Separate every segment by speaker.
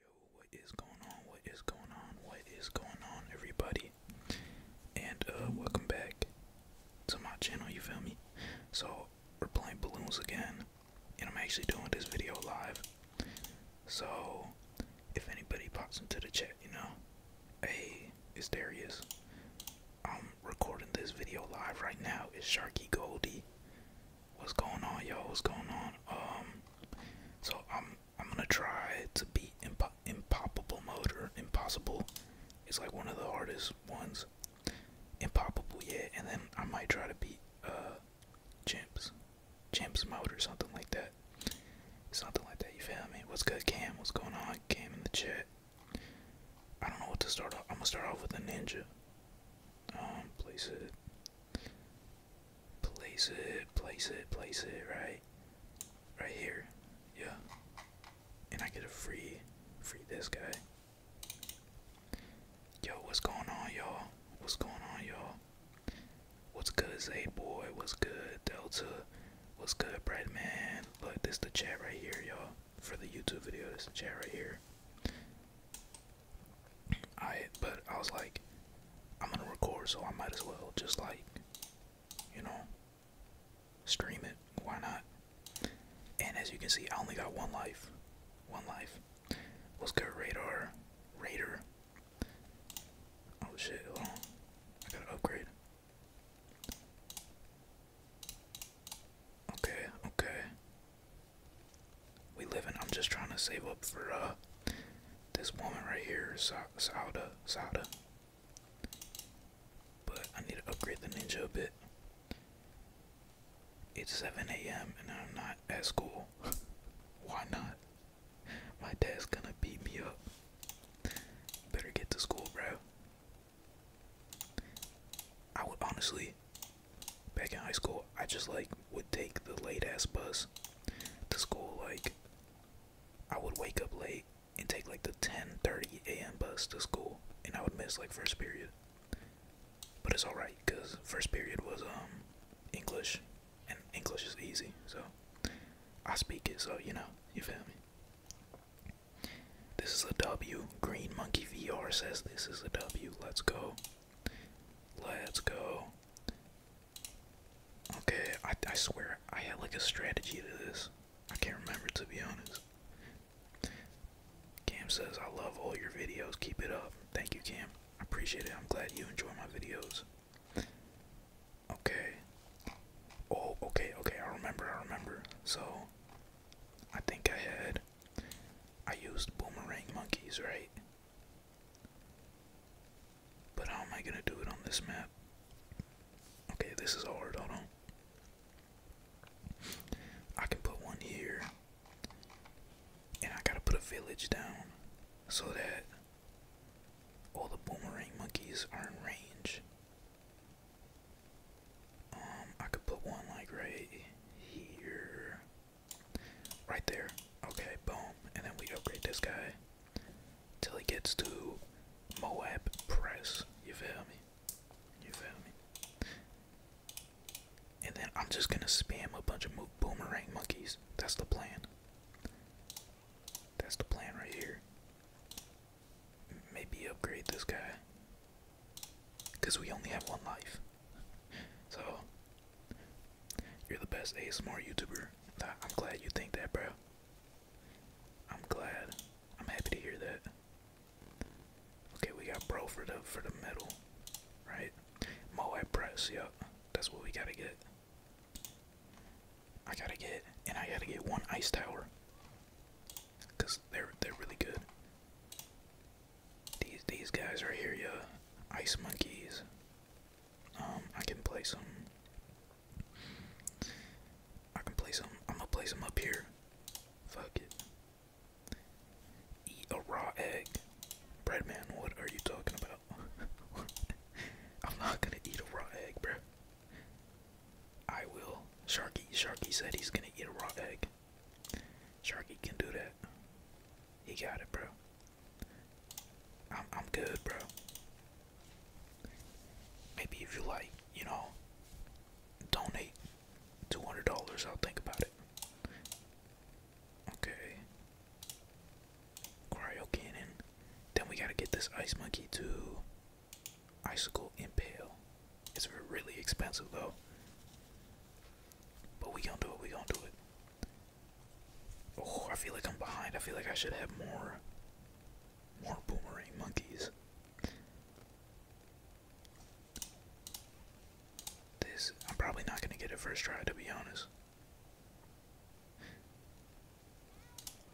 Speaker 1: Yo, what is going on? What is going on? What is going on, everybody? And uh, welcome back to my channel. You feel me? So we're playing balloons again, and I'm actually doing this video live. So if anybody pops into the chat, you know, hey, it's Darius. I'm recording this video live right now. It's Sharky Goldie what's going on, yo? What's going on? Um, so I'm I'm gonna try to beat impo impoppable mode or impossible. It's like one of the hardest ones. Impoppable, yeah. And then I might try to beat uh, chimps, chimps mode or something like that. Something like that. You feel me? What's good, Cam? What's going on? Cam in the chat. I don't know what to start off. I'm gonna start off with a ninja. Um, place it. Place it, place it, place it, right? Right here. Yeah. And I get a free, free this guy. Yo, what's going on, y'all? What's going on, y'all? What's good, Zay boy? What's good, Delta? What's good, Bright man? Look, this the chat right here, y'all. For the YouTube video, this the chat right here. I but I was like, I'm gonna record, so I might as well just like, you know, stream it. Why not? And as you can see, I only got one life. One life. Let's good, radar? radar. Oh shit! Hold I gotta upgrade. Okay, okay we live in. I'm just trying to save up for uh this woman right here, Sa Sauda, Sauda. But I need to upgrade the ninja a bit. It's 7 a.m. and I'm not at school. Why not? My dad's gonna beat me up. Better get to school, bro. I would honestly, back in high school, I just like would take the late ass bus to school. Like, I would wake up late and take like the 10:30 a.m. bus to school, and I would miss like first period. But it's all right because first period was um English, and English is easy, so I speak it. So you know, you feel me? This is a W. Green Monkey VR says this is a W. Let's go. Let's go. Okay, I, I swear I had like a strategy to this. I can't remember to be honest. Cam says, I love all your videos. Keep it up. Thank you, Cam. I appreciate it. I'm glad you enjoy my videos. Okay. Oh, okay, okay. I remember, I remember. So, I think I had. I used boomerang monkeys, right? But how am I gonna do it on this map? Okay, this is hard, hold on. I can put one here. And I gotta put a village down so that all the boomerang monkeys are in range. Um, I could put one like right here. Right there. Okay, boom. And then we upgrade this guy till he gets to Moab Press. You feel me? You feel me? And then I'm just gonna spam a bunch of mo boomerang monkeys. That's the plan. That's the plan right here. Maybe upgrade this guy. Because we only have one life. So you're the best ASMR YouTuber. I'm glad you think that, bro. I'm glad. I'm happy to hear that. Okay, we got bro for the for the metal, right? Moab press, yep. That's what we gotta get. I gotta get, and I gotta get one ice tower, cause they're they're really good. These these guys right here, yeah, ice monkeys. Um, I can play some. I can place them. I'm gonna place them up here. Fuck it. Eat a raw egg. bread man. what are you talking about? I'm not gonna eat a raw egg, bro. I will. Sharky, Sharky said he's gonna eat a raw egg. Sharky can do that. He got it, bro. I'm I'm good, bro. Maybe if you like, you know, donate two hundred dollars, I'll think about it. Okay. Cryo cannon. Then we gotta get this ice monkey to Icicle Impale. It's really expensive though. But we gonna do it, we gonna do it. Oh, I feel like I'm behind. I feel like I should have more more boomerang monkeys. This I'm probably not gonna get a first try to be honest.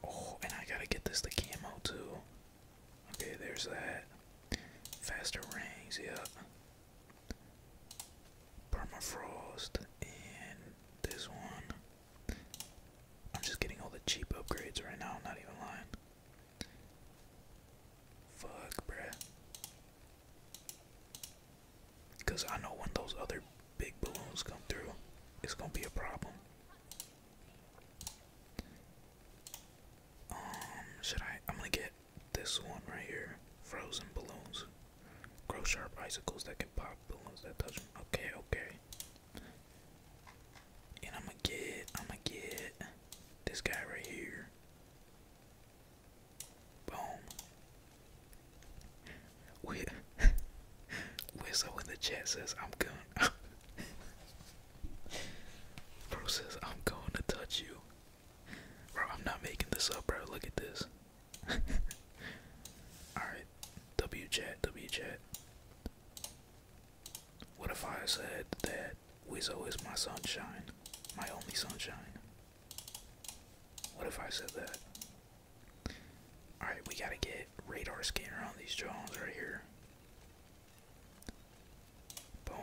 Speaker 1: Oh, and I gotta get this the camo too. Okay, there's that. Faster rings, yep. Permafrost and this one. I'm just getting all the cheap upgrades right now, not even lying. Fuck, bruh. Because I know when those other big balloons come through, it's gonna be a problem. Um, should I? I'm gonna get this one right here frozen balloons grow sharp icicles that can pop balloons that touch them. okay okay and i'ma get i'ma get this guy right here boom with in the chat says i'm going bro says i'm going to touch you bro i'm not making this up bro look at this Alright, W chat, W chat. What if I said that Wizzo is my sunshine, my only sunshine? What if I said that? Alright, we gotta get radar scanner on these drones right here. Boom.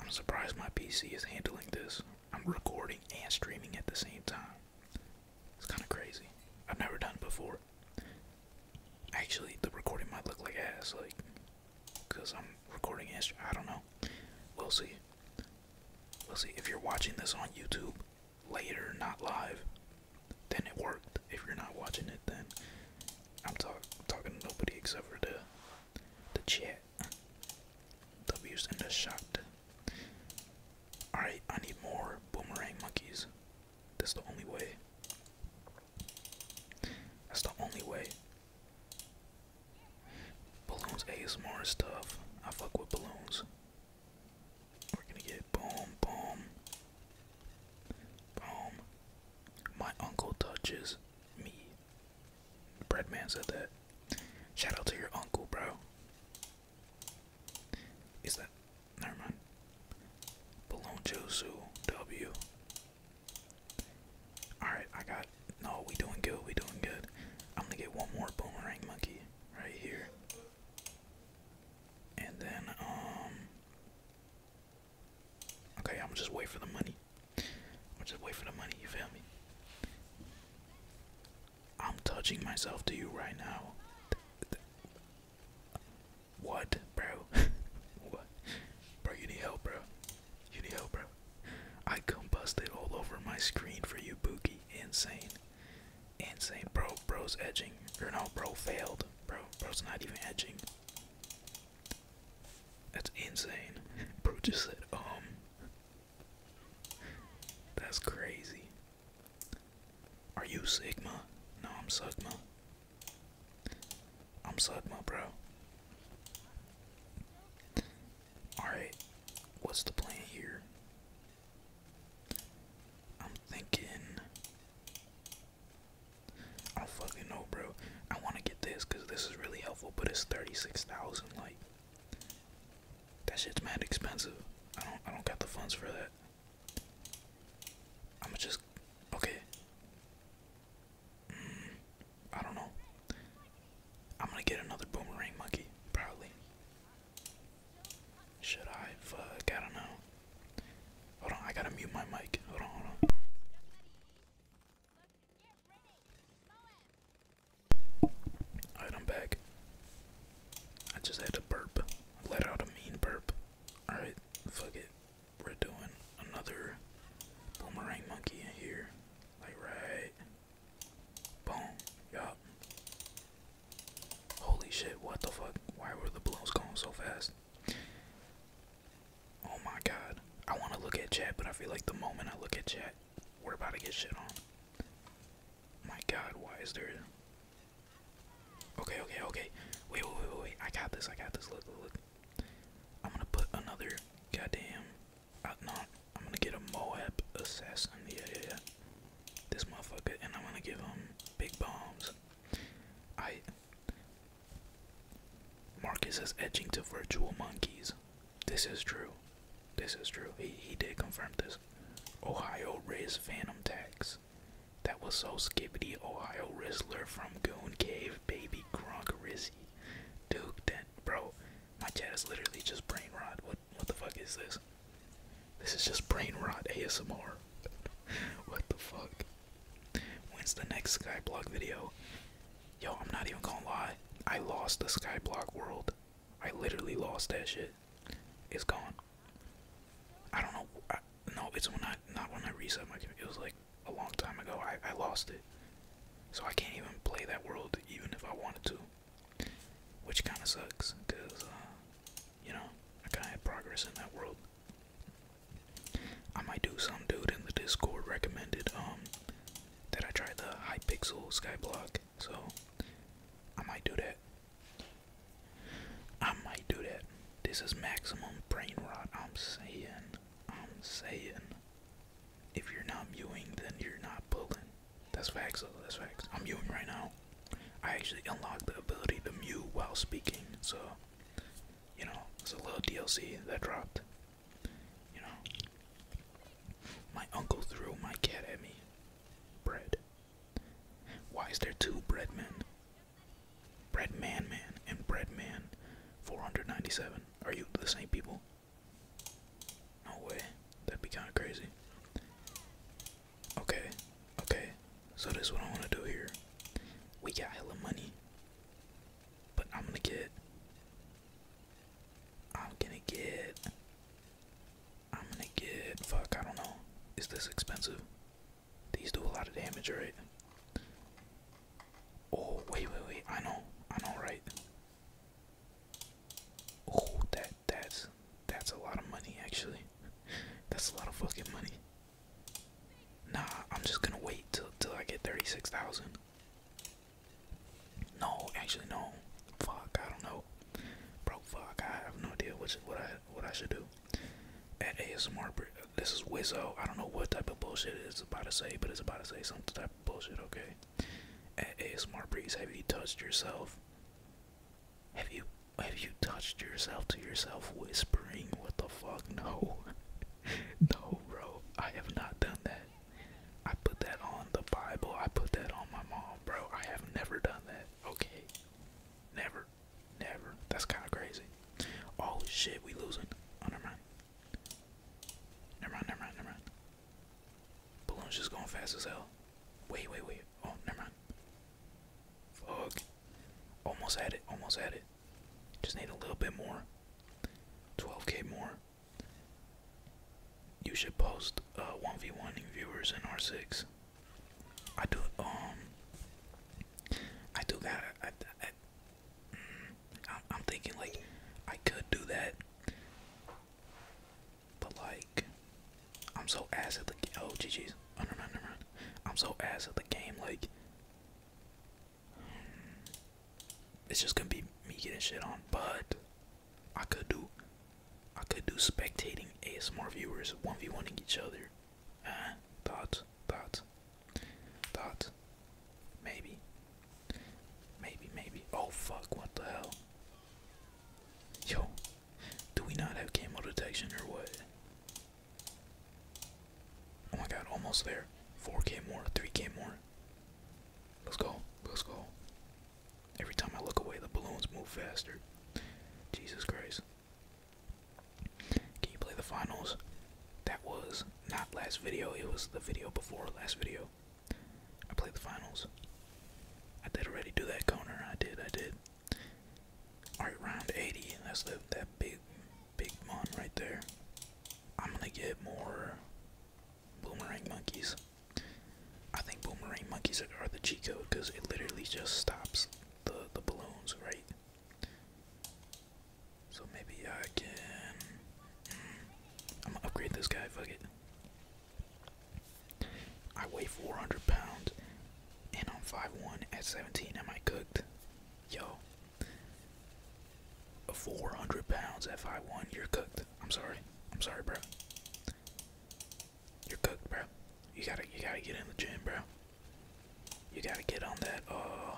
Speaker 1: I'm surprised my PC is handling this. I'm recording and streaming at the same time. It's kind of crazy. I've never done it before. Actually, the recording might look like ass, like, because I'm recording and I don't know. We'll see. We'll see. If you're watching this on YouTube later, not live, then it worked. If you're not watching it, then I'm talking to nobody except for the the chat. W's in the shot. Alright, I need more boomerang monkeys. That's the only way. That's the only way. Balloons ASMR stuff. I fuck with balloons. We're gonna get boom, boom, boom. My uncle touches me. Breadman said that. Shout out to your uncle, bro. Is that never mind? Balonjosu W. Alright, I got no, we doing good, we doing good. I'm gonna get one more boomerang monkey right here. And then um Okay, I'm just waiting for the money. Or just wait for the money, you feel me? I'm touching myself to you right now. What, bro? what? Bro, you need help, bro. You need help, bro. I combusted all over my screen for you, Boogie. Insane. Insane. Bro, bro's edging. Or no, bro failed. Bro, bro's not even edging. That's insane. Brutus said, um. That's crazy. Are you Sigma? No, I'm Sigma. I'm Sigma, bro. Alright, what's the plan here? I'm thinking. I don't fucking know, bro. I want to get this because this is really helpful, but it's $36,000. Like that shit's mad expensive. I don't I don't got the funds for that. I'ma just okay. Mm, I don't know. I'm gonna get another boomerang monkey, probably. Should I? Fuck, I don't know. Hold on, I gotta mute my mic. Hold on, hold on. Alright, i I just had a burp. let out a mean burp. Alright, fuck it. We're doing another boomerang monkey in here. Like, right. Boom. Yup. Holy shit, what the fuck? Why were the balloons going so fast? Oh my god. I want to look at chat, but I feel like the moment I look at chat, we're about to get shit on. My god, why is there. Okay, okay, okay. Wait, wait, wait, wait. I got this, I got this. Look, look, look. I'm gonna put another goddamn. Uh, no, I'm gonna get a Moab assassin. Yeah, yeah, yeah. This motherfucker, and I'm gonna give him big bombs. I. Marcus is edging to virtual monkeys this. is true. This is true. He he did confirm this. Ohio Riz Phantom Tax. That was so skibbity. Ohio Rizzler from Goon Cave, Baby Gronk Rizzy. Duke Dent. Bro, my chat is literally just brain rot. What what the fuck is this? This is just brain rot ASMR. what the fuck? When's the next Skyblock video? Yo, I'm not even gonna lie. I lost the skyblock world. I literally lost that shit. It's gone. I don't know. no, it's when I not when I reset my It was like a long time ago. I I lost it, so I can't even play that world even if I wanted to, which kind of sucks because uh, you know I kind of had progress in that world. I might do some dude in the Discord recommended um that I tried the Hypixel Skyblock, so I might do that. I might do that. This is maximum brain rot, I'm saying. I'm saying. If you're not mewing, then you're not pulling. That's facts, though. That's facts. I'm mewing right now. I actually unlocked the ability to mew while speaking, so, you know, it's a little DLC that dropped. You know? My uncle threw my cat at me. Bread. Why is there two bread men? Bread man man and bread man 497. Are you the same people? No way. That'd be kind of crazy. Okay. Okay. So this is what I want to do here. We got of money. But I'm gonna get. I'm gonna get. I'm gonna get. Fuck, I don't know. Is this expensive? These do a lot of damage, right? Oh, wait, wait, wait. I know. I know, right? Oh, that that's that's a lot of money actually. That's a lot of fucking money. Nah, I'm just gonna wait till till I get thirty six thousand. No, actually no. Fuck, I don't know. Bro, fuck, I have no idea what I what I should do. At ASMR, this is Wizzo. I don't know what type of bullshit it's about to say, but it's about to say some type of bullshit. Okay. At ASMR Breeze, have you touched yourself? Have you have you touched yourself to yourself whispering? What the fuck? No, no, bro. I have not done that. I put that on the Bible. I put that on my mom, bro. I have never done that. Okay. Never. Never. That's kind of crazy. Oh shit, we losing. Oh, never mind. Never mind, never mind, never mind. Balloon's just going fast as hell. Wait, wait, wait. Oh, never mind. Fuck. Almost had it. Almost had it. Just need a little bit more. 12k more. You should post uh, 1v1ing viewers in R6. I do, um, I do got, I, I, am mm, thinking like I could do that, but like I'm so ass at the oh GG's, oh, no, I'm so ass at the game like it's just gonna be me getting shit on, but I could do, I could do spectating ASMR viewers one v one each other. Uh, thoughts, thoughts, thoughts. Maybe, maybe, maybe. Oh fuck! What the hell? Yo, do we not have camo detection or what? Oh my god! Almost there. 4k more, 3k more. Let's go. Let's go. Every time I look away, the balloons move faster. Jesus Christ. Can you play the finals? That was not last video, it was the video before last video. I played the finals. I did already do that, corner. I did, I did. Alright, round 80. Let's lift that big, big one right there. I'm gonna get more boomerang monkeys. I think boomerang monkeys are the cheat code because it literally just stops the the balloons, right? So maybe I can. Hmm, I'm gonna upgrade this guy. Fuck it. I weigh 400 pounds, and I'm five one at 17. Am I cooked? Yo, Four hundred pounds If I one You're cooked. I'm sorry. I'm sorry, bro. You're cooked, bro. You gotta you gotta get in the gym, bro. You gotta get on that uh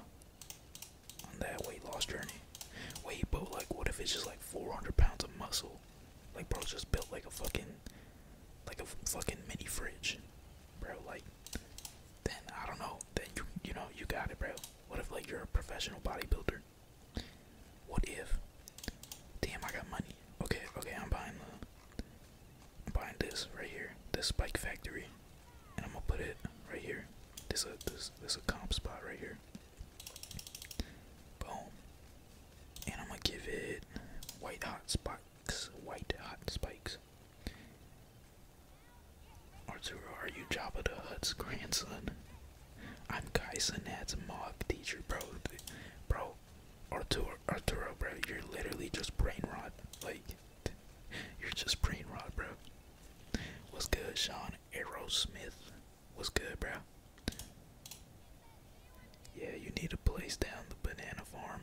Speaker 1: on that weight loss journey. Wait, bro. like what if it's just like four hundred pounds of muscle? Like bro just built like a fucking like a fucking mini fridge. Bro, like then I don't know. Then you you know, you got it, bro. What if like you're a professional bodybuilder? What if? Damn, I got money. Okay, okay, I'm buying the. buying this right here, this spike factory, and I'm gonna put it right here. This a this this a comp spot right here. Boom. And I'm gonna give it white hot spikes, white hot spikes. Arturo, are you Jabba the Hutt's grandson? I'm Kai Sinat's mob teacher, bro. Bro, Arturo, Arturo, bro, you're literally just brain rot. Like, you're just brain rot, bro. What's good, Sean Aerosmith? What's good, bro? Yeah, you need a place down the banana farm.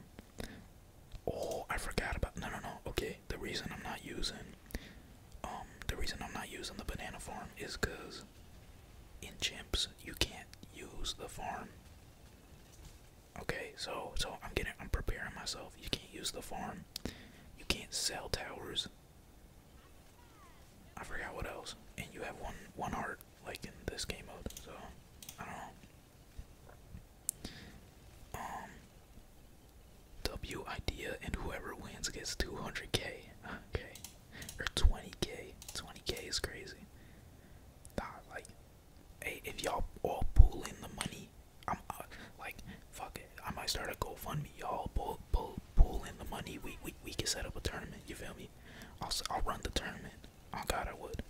Speaker 1: Oh, I forgot about. No, no, no. Okay, the reason I'm not using um, the reason I'm not using the banana farm is because in chimps you can't use the farm. Okay, so so I'm getting I'm preparing myself. You can't use the farm. You can't sell towers. I forgot what else. And you have one one heart like in this game mode. So I don't know. Um, W idea and whoever wins gets 200k. Okay. Or 20k. 20k is crazy. like, hey, if y'all all pull in the money, I'm uh, like, fuck it. I might start a GoFundMe. Y'all pull, pull, pull in the money. We, we, we can set up a tournament. You feel me? I'll, I'll run the tournament. Oh God, I would.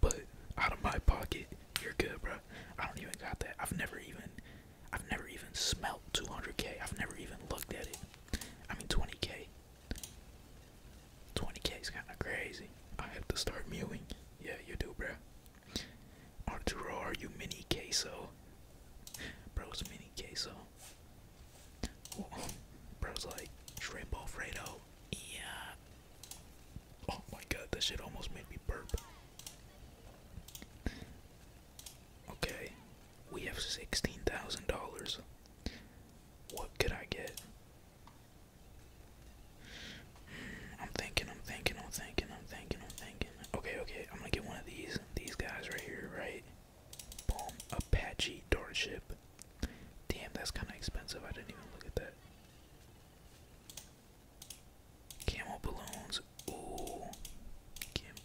Speaker 1: But out of my pocket, you're good, bro. I don't even got that. I've never even I've never even smelt 200k. I've never even looked at it. I mean 20k. 20k is kind of crazy. I have to start mewing. Yeah, you do, bro. Arturo, are you mini queso? Bro's mini queso. Bro's like shrimp Alfredo. Yeah. Oh my god, that shit almost made me burp. Okay, we have $16,000. What could I get? I'm thinking, I'm thinking, I'm thinking, I'm thinking, I'm thinking. Okay, okay, I'm gonna get one of these, these guys right here, right? Boom, Apache dart ship. Damn, that's kind of expensive. I didn't even look at that. Camo balloons.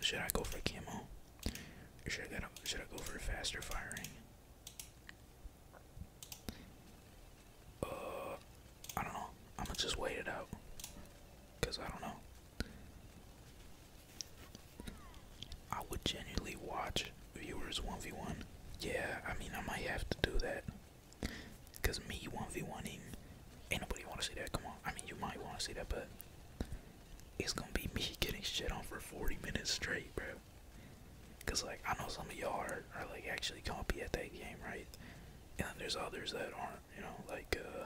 Speaker 1: should I go for camo? should I, go for faster firing? Uh, I don't know. I'm gonna just wait it out. Because I don't know. I would genuinely watch viewers 1v1. Yeah, I mean, I might have to do that. Cause me 1v1ing, ain't nobody wanna see that, come on. I mean, you might wanna see that, but it's gonna be me getting shit on for 40 minutes straight, bro. Cause like, I know some of y'all are, are like actually compy at that game, right? And then there's others that aren't, you know, like uh,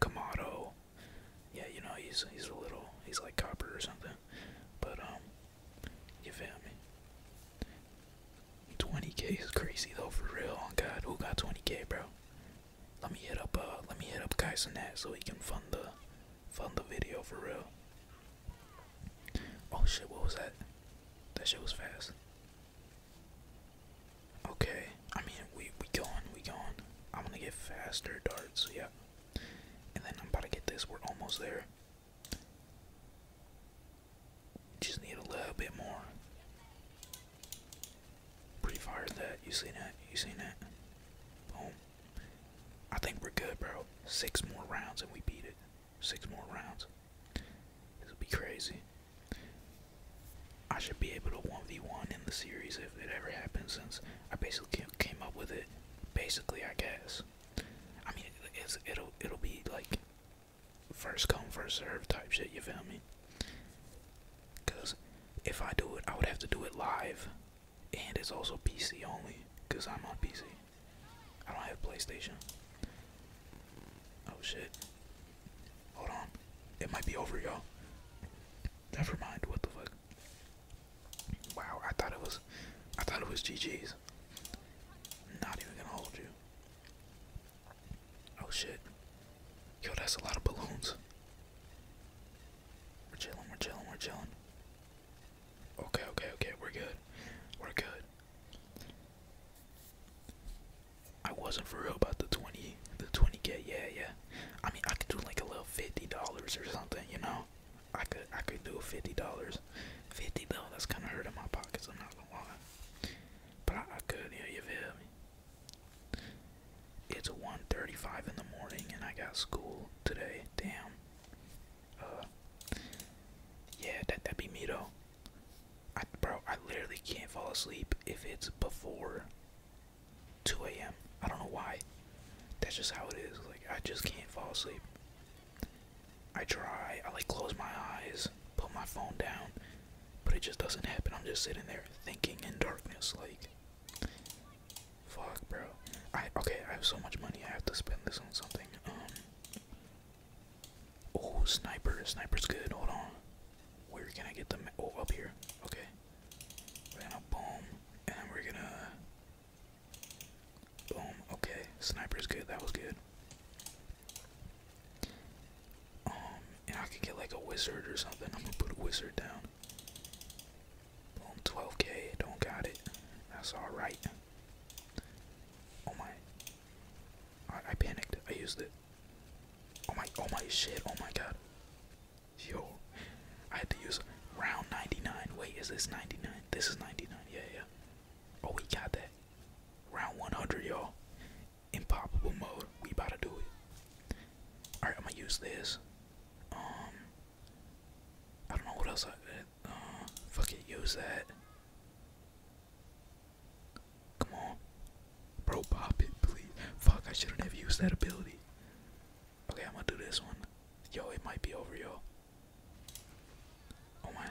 Speaker 1: Kamado. Yeah, you know, he's, he's a little, he's like copper or something. But, um, you feel me? 20k is crazy though, for real. On oh, God, who got 20k, bro? Let me hit up, uh, let me hit up Kaisen that so we can fund the, fund the video for real. Oh shit, what was that? That shit was fast. Okay, I mean we we going, we going. I'm gonna get faster darts, yeah. And then I'm about to get this. We're almost there. Just need a little bit more. Pretty far that. You seen that? You seen that? Boom. I think we're good, bro. Six more rounds and we beat it. Six more rounds. This will be crazy. I should be able to 1v1 in the series if it ever happens since I basically came up with it. Basically, I guess. I mean, it'll, it'll be like first come, first serve type shit, you feel me? Because if I do it, I would have to do it live. And it's also PC only, because I'm on PC. I don't have PlayStation. Oh shit. Hold on. It might be over, y'all. Never mind, what the fuck. Wow, I thought it was I thought it was GG's. Not even gonna hold you. Oh shit. Yo, that's a lot of balloons. We're chilling, we're chilling, we're chilling. Okay, okay, okay, we're good. We're good. I wasn't for real about the 20, the 20k, yeah, yeah. I mean, I could do like a little $50 or something, you know? I could, I could do $50. 50 though, that's kind of hurting my pockets, I'm not gonna lie. But I, could, hear you feel me? It's 1:35 in the morning and I got school today. Damn. Uh, yeah, that that'd be me though. bro, I literally can't fall asleep if it's before 2 a.m. I don't know why. That's just how it is. Like I just can't fall asleep. I try, I like close my eyes, put my phone down, but it just doesn't happen. I'm just sitting there thinking in darkness, like, fuck, bro. I okay. I have so much money. I have to spend this on something. Um. Oh, sniper. Sniper's good. Hold on. Where can I get them? Oh, up here. Okay. We're going and we're gonna boom. Okay, sniper's good. That was good. Um, and I could get like a wizard or something. I'm gonna put a wizard down. 12k. Don't got it. That's all right. Oh my! I, I panicked. I used it. Oh my! Oh my shit! Oh my god! Yo, I had to use round 99. Wait, is this 99? This is 99. Yeah, yeah. Oh, we got that. Round 100, y'all impoppable mode. We about to do it. All right, I'm gonna use this. Um, I don't know what else Uh, fuck it, use that. Come on, bro, pop it, please. Fuck, I shouldn't have used that ability. Okay, I'm gonna do this one. Yo, it might be over, yo. Oh my.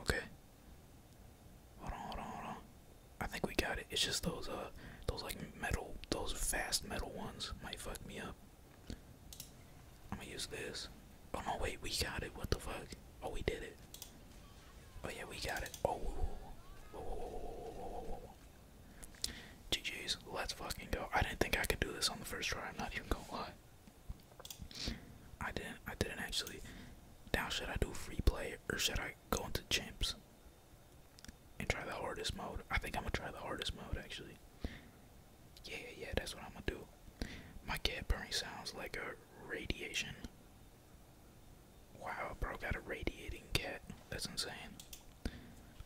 Speaker 1: Okay. Hold on, hold on, hold on. I think we got it. It's just those uh those like metal those fast metal ones might fuck me up. I'm gonna use this. Oh no wait, we got it. What the fuck? Oh we did it. Oh yeah, we got it. Oh whoa whoa whoa whoa whoa whoa whoa whoa whoa. GG's, let's fucking go. I didn't think I could do this on the first try, I'm not even gonna lie. I didn't I didn't actually now should I do free play or should I go into champs and try the hardest mode? I think I'm gonna try the hardest mode actually. Yeah, yeah, that's what I'm gonna do. My cat burning sounds like a radiation. Wow, bro, got a radiating cat. That's insane.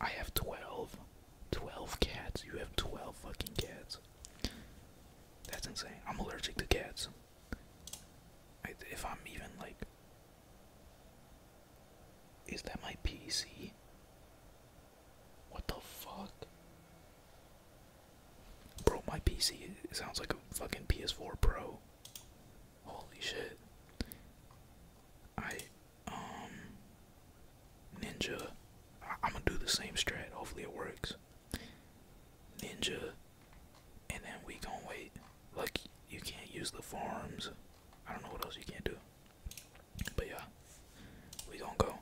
Speaker 1: I have 12. 12 cats. You have 12 fucking cats. That's insane. I'm allergic to cats. If I'm even like. Is that my PC? What the fuck? Bro, my PC sounds like a fucking PS4 Pro. Holy shit. I, um, Ninja. I'm gonna do the same strat. Hopefully it works. Ninja and then we gonna wait. Like you can't use the farms. I don't know what else you can't do. But yeah, we gonna go.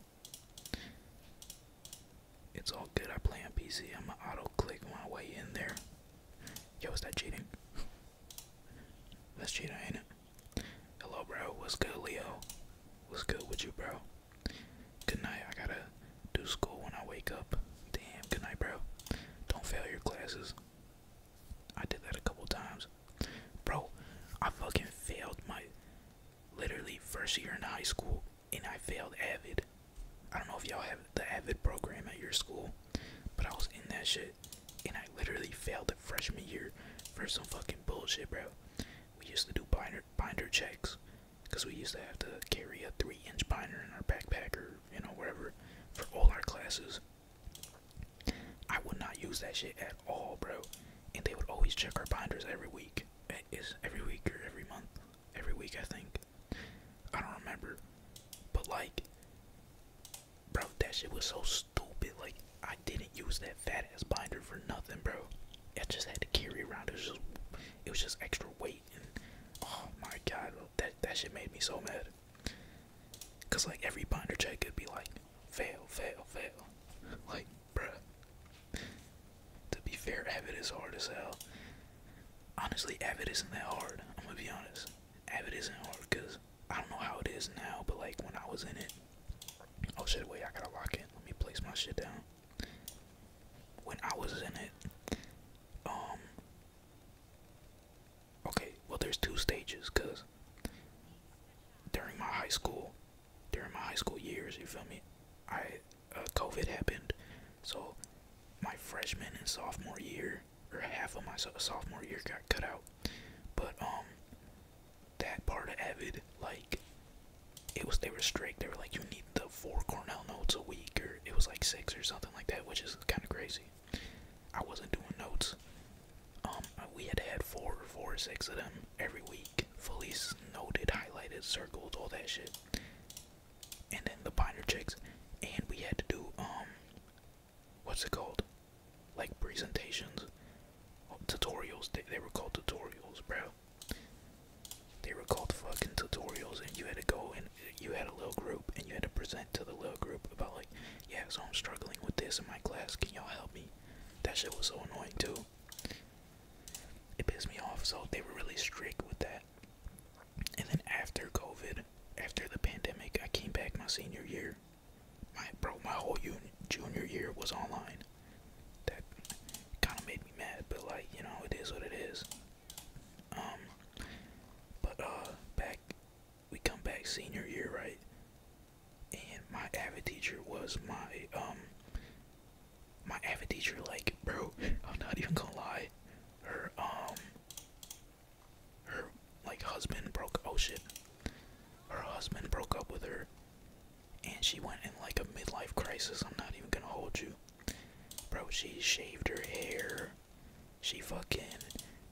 Speaker 1: It's all good. I play on PC. I'm gonna auto click my way in there. Yo, is that cheating? That's cheating, ain't it? Hello, bro. What's good, Leo? What's good with you, bro? Good night. I gotta do school when I wake up. Damn, good night, bro. Don't fail your classes. I did that a couple times. Bro, I fucking failed my literally first year in high school and I failed Avid. I don't know if y'all have the Avid program at your school, but I was in that shit and I literally failed the freshman year for some fucking bullshit, bro. We used to do binder binder checks because we used to have to carry a three inch binder in our backpack or you know wherever for all our classes i would not use that shit at all bro and they would always check our binders every week eh, is every week or every month every week i think i don't remember but like bro that shit was so stupid like i didn't use that fat ass binder for nothing bro i just had to carry around it was just it was just extra weight oh my god that that shit made me so mad cause like every binder check could be like fail fail fail like bruh to be fair avid is hard as hell honestly avid isn't that hard i'm gonna be honest avid isn't hard cause i don't know how it is now but like when i was in it oh shit wait i gotta lock it. let me place my shit down when I was in it. Um, okay, well there's two stages cuz during my high school, during my high school years, you feel me? I uh, COVID happened. So my freshman and sophomore year or half of my sophomore year got cut out. But um that part of Avid like it was they were strict. They were like you need the four Cornell notes a week, or it was like six or something like that, which is kind of crazy. I wasn't doing notes. Um, we had to have or four or six of them every week, fully noted, highlighted, circled, all that shit. And then the binder checks, and we had to do um, what's it called? Like presentations, tutorials. they were called tutorials, bro. They were called fucking tutorials, and you had to go and you had a little group, and you had to present to the little group about like, yeah, so I'm struggling with this in my class. Can y'all help me? That shit was so annoying too. It pissed me off. So they were really strict with that. And then after COVID, after the pandemic, I came back my senior year. My bro, my whole junior year was online. That kind of made me mad, but like you know, it is what it is. Um, but uh, back we come back senior year, right? And my avid teacher was my um, my avid teacher. Like, bro, I'm not even gonna lie. Her um, her like husband broke. Oh shit, her husband broke up with her, and she went in like a midlife crisis. I'm not even gonna hold you. Bro, she shaved her hair. She fucking.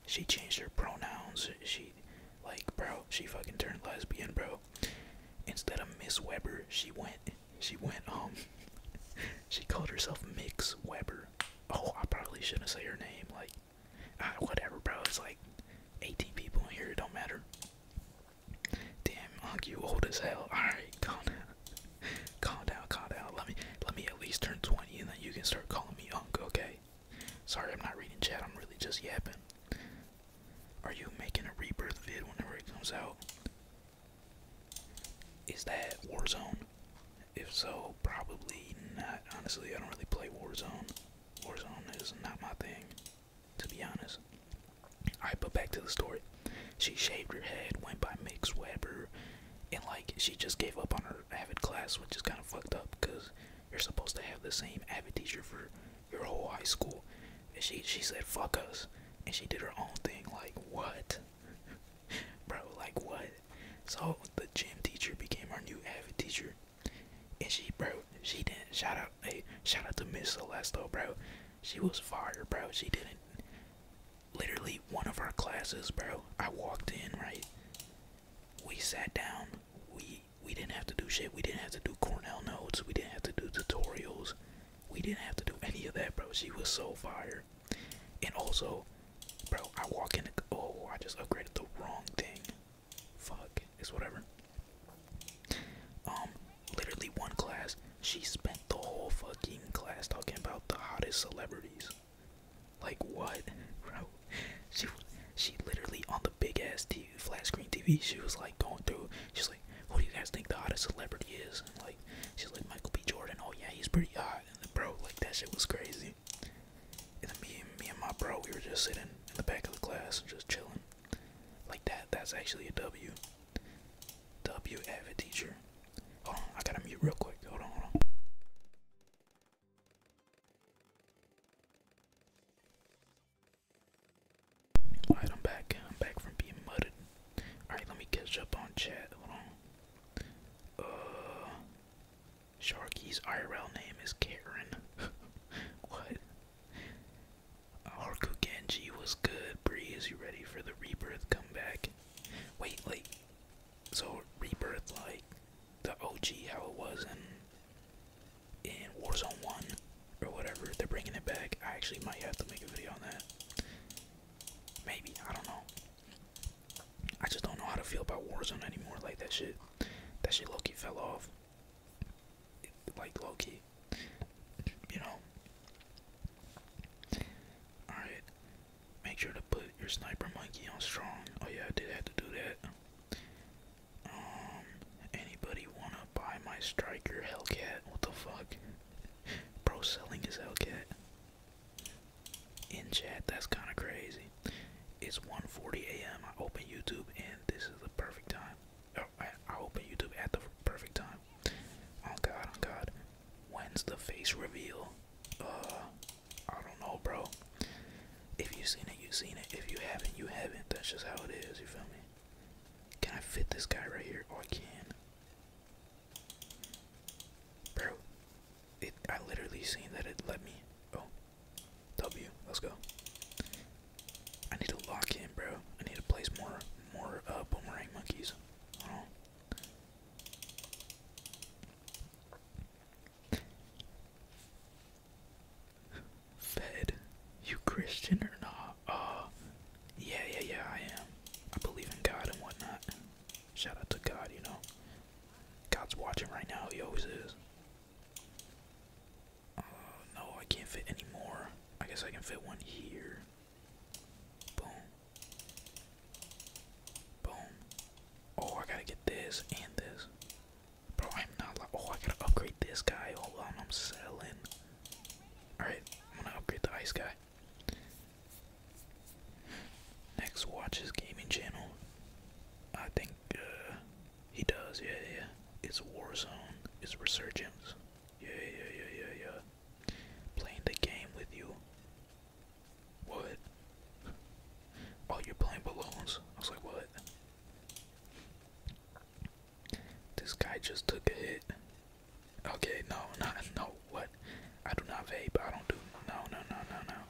Speaker 1: She changed her pronouns. She. Like, bro, she fucking turned lesbian, bro. Instead of Miss Weber, she went. She went, um. she called herself Mix Weber. Oh, I probably shouldn't say her name. Like, ah, whatever, bro. It's like 18 people in here. It don't matter. Damn, Unc, you old as hell. Alright, calm down calm down, calm down. Let me let me at least turn 20 and then you can start calling me Uncle. okay? Sorry, I'm not reading chat, I'm really just yapping. Are you making a rebirth vid whenever it comes out? Is that Warzone? If so, probably not. Honestly, I don't really play Warzone. Warzone is not my thing, to be honest. Alright, but back to the story. She shaved her head, went by Mix Webber, and like she just gave up on her avid class, which is kind of fucked up because you're supposed to have the same avid teacher for your whole high school. she she said fuck us, and she did her own thing. Like what, bro? Like what? So the gym teacher became our new avid teacher, and she bro she didn't shout out hey shout out to Miss Celeste bro. She was fired, bro. She didn't literally one of our classes, bro. I walked in, right? We sat down. We we didn't have to do shit. We didn't have to do Cornell notes. We didn't have to do tutorials. We didn't have to do any of that, bro. She was so fire. And also, bro, I walk in. The, oh, I just upgraded the wrong thing. Fuck. It's whatever. Um, literally one class. She spent the whole fucking class talking about the hottest celebrities. Like what, bro? She she literally on the big ass TV, flat screen TV. She was like going through. She's like, who do you guys think the hottest celebrity is? And like she's like Michael B. Jordan. Oh yeah, he's pretty hot. And bro, like that shit was crazy. And me and me and my bro, we were just sitting in the back of the class, just chilling. Like that. That's actually a W. W avid teacher. oh, I gotta mute real quick. Hold on, hold on. Alright, I'm back. I'm back from being mudded. Alright, let me catch up on chat. Hold on. Uh, Sharky's IRL name is Karen. what? Harku Genji was good. Bree, is you ready for the rebirth comeback? Wait, like, so Rebirth, like, the OG, how it was in, in Warzone 1 or whatever, they're bringing it back. I actually might have to make a video on that. Maybe, I don't know. I just don't know how to feel about Warzone anymore. Like, that shit, that shit low key fell off. like, Loki, You know? Alright. Make sure to put your sniper monkey on strong. Oh yeah, I did have to do that. Um anybody wanna buy my striker Hellcat? What the fuck? Bro selling his Hellcat. In chat, that's kinda crazy. It's 1:40 a.m. I open YouTube and this is the perfect time. Oh, I open YouTube at the perfect time. Oh God, oh God, When's the face reveal? Uh, I don't know, bro. If you've seen it, you've seen it. If you haven't, you haven't. That's just how it is. You feel me? Can I fit this guy right here? Oh, I can. Bro, it. I literally seen that it let me. Oh, W. Let's go. I need to lock him, bro. I need to place more, more uh, boomerang monkeys. Fed, you Christian or not? Uh, yeah, yeah, yeah, I am. I believe in God and whatnot. Shout out to God, you know. God's watching right now, he always is. Uh, no, I can't fit any I guess I can fit one here. Boom. Boom. Oh, I gotta get this and this. Bro, I'm not like. Oh, I gotta upgrade this guy. Hold on, I'm selling. Alright, I'm gonna upgrade the ice guy. Next, watch his gaming channel. I think uh, he does. Yeah, yeah. It's Warzone. It's Resurgence. Yeah, yeah, yeah, yeah, yeah. Playing the game with you. What? Oh, you're playing balloons? I was like, what? This guy just took a hit. Okay, no, not no. What? I do not vape. I don't do. No, no, no, no, no.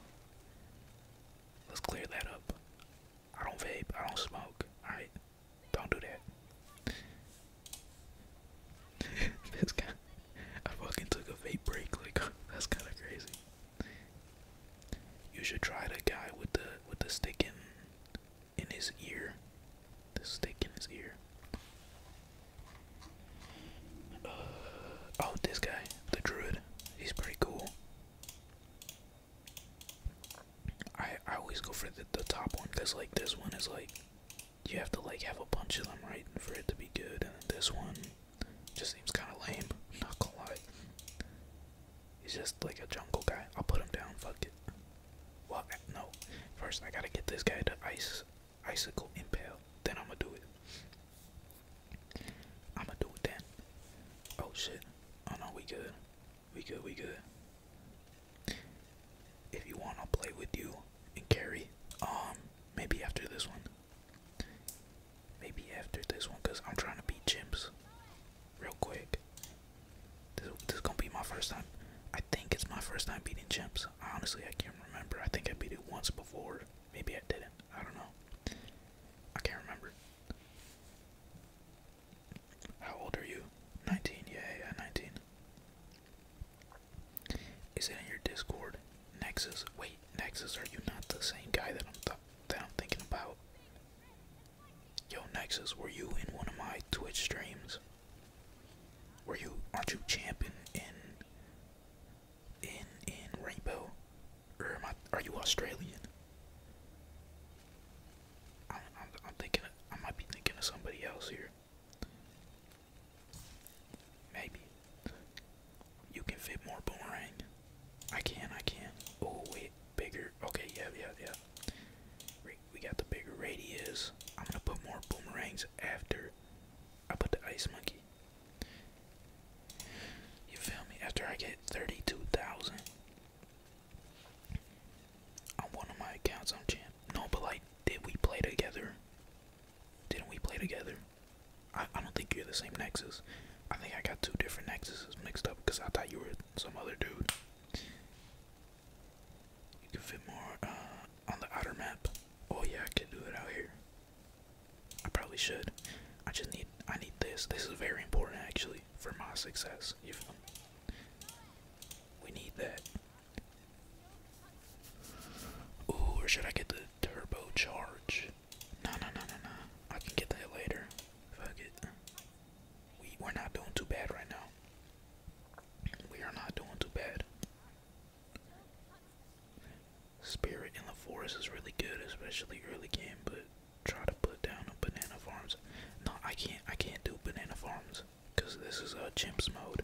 Speaker 1: Let's clear that up. I don't vape. I don't smoke. All right. Don't do that. this guy, I fucking took a vape break. Like that's kind of crazy. You should try the guy with the with the stick in in his ear. The stick in his ear. oh, this guy, the druid. He's pretty cool. I I always go for the the top one because like this one is like you have to like have a bunch of them right for it to be good, and this one just seems kind of lame. I'm not gonna lie, he's just like a jungle guy. I'll put him down. Fuck it. Well, no. First, I gotta get this guy to ice icicle impale. Then I'ma do it. I'ma do it then. Oh shit. Oh no, we good. We good. We good. If you want, I'll play with you and carry. Um, maybe after this one. Maybe after this one, cause I'm trying to beat chimps, real quick. This, this is gonna be my first time. I think it's my first time beating chimps. Honestly, I can't remember. I think I beat it once before. Maybe I didn't. I don't know. I can't remember. How old are you? 19. Yeah, yeah, 19. Is it in your Discord? Nexus. Wait, Nexus, are you not the same guy that I'm thinking about? Yo, Nexus, were you in one of my Twitch streams? Were you? Aren't you champion in in in Rainbow? Are you Australian? I'm thinking. I might be thinking of somebody else here. Maybe. You can fit more boomerang. I can, I can. Oh, wait, bigger. Okay, yeah, yeah, yeah. We got the bigger radius. I'm gonna put more boomerangs after I put the ice monkey. You feel me? After I get 32,000 on one of my accounts, on champ. No, but like, did we play together? Didn't we play together? I, I don't think you're the same Nexus. I think I got two different Nexuses mixed up because I thought you were some other dude. You can fit more uh, on the outer map. Oh yeah, I could do it out here. I probably should. I just need I need this. This is very important actually for my success. You feel me? We need that. Ooh, or should I get the turbo charge? No, no, no, no, no. I can get that later. Fuck it. We are not doing too bad right now. We are not doing too bad. Spirit in the forest is really good, especially early game, but try to put down a banana farms. No, I can't I can't do banana farms because this is a uh, chimps mode.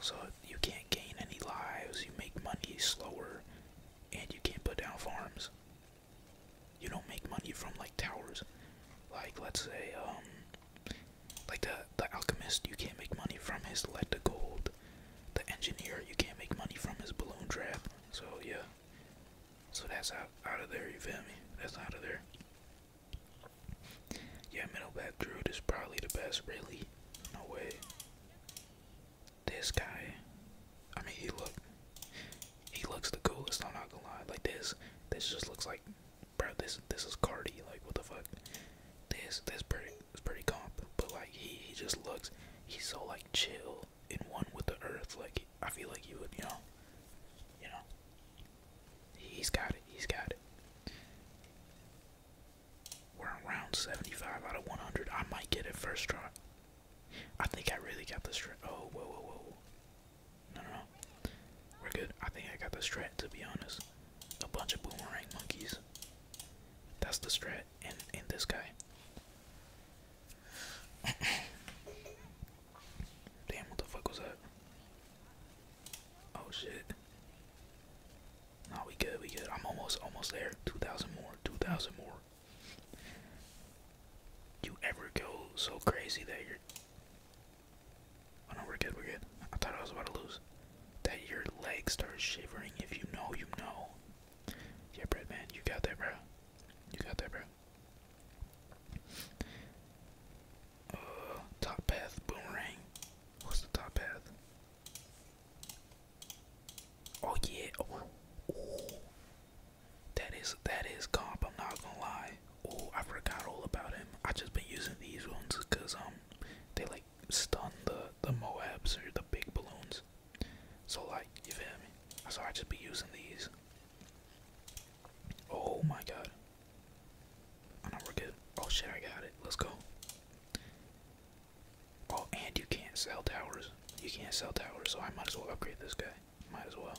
Speaker 1: So you can't gain any lives, you make money slower, and you can't put down farms. You don't make money from like towers. Like let's say, um like the the alchemist, you can't make money from his lead to gold. The engineer, you can't make money from his balloon trap. So yeah. So that's out out of there, you feel me? That's out of there. Yeah, middle back Druid is probably the best, really. No way. This guy, I mean, he look, he looks the coolest. I'm not gonna lie. Like this, this just looks like, bro. This, this is Cardi. Like, what the fuck? This, this pretty, it's pretty comp. But like, he, he just looks. He's so like chill and one with the earth. Like, I feel like he would, you know, you know. He's got it. He's got it. We're around 75 out of 100. I might get it first try. I think I really got the strat. Oh, whoa, whoa, whoa. No, no, no. We're good. I think I got the strat, to be honest. A bunch of boomerang monkeys. That's the strat and, and this guy. Damn, what the fuck was that? Oh shit. No, we good, we good. I'm almost almost there. Two thousand more, two thousand more. You ever go so crazy that you're Oh no, we're good, we're good. I thought I was about to lose. That your legs start shivering if you know you know. Yeah, bread man, you got that, bro. You got that, bro. Uh, top path boomerang. What's the top path? Oh yeah. Oh, That is that is comp. I'm not gonna lie. Oh, I forgot all about him. I just been using these ones because um they like stun the the Moabs or the big balloons. So like you feel me? So I just be using these. Oh my god. Oh no, we're good. Oh shit, I got it. Let's go. Oh, and you can't sell towers. You can't sell towers, so I might as well upgrade this guy. Might as well.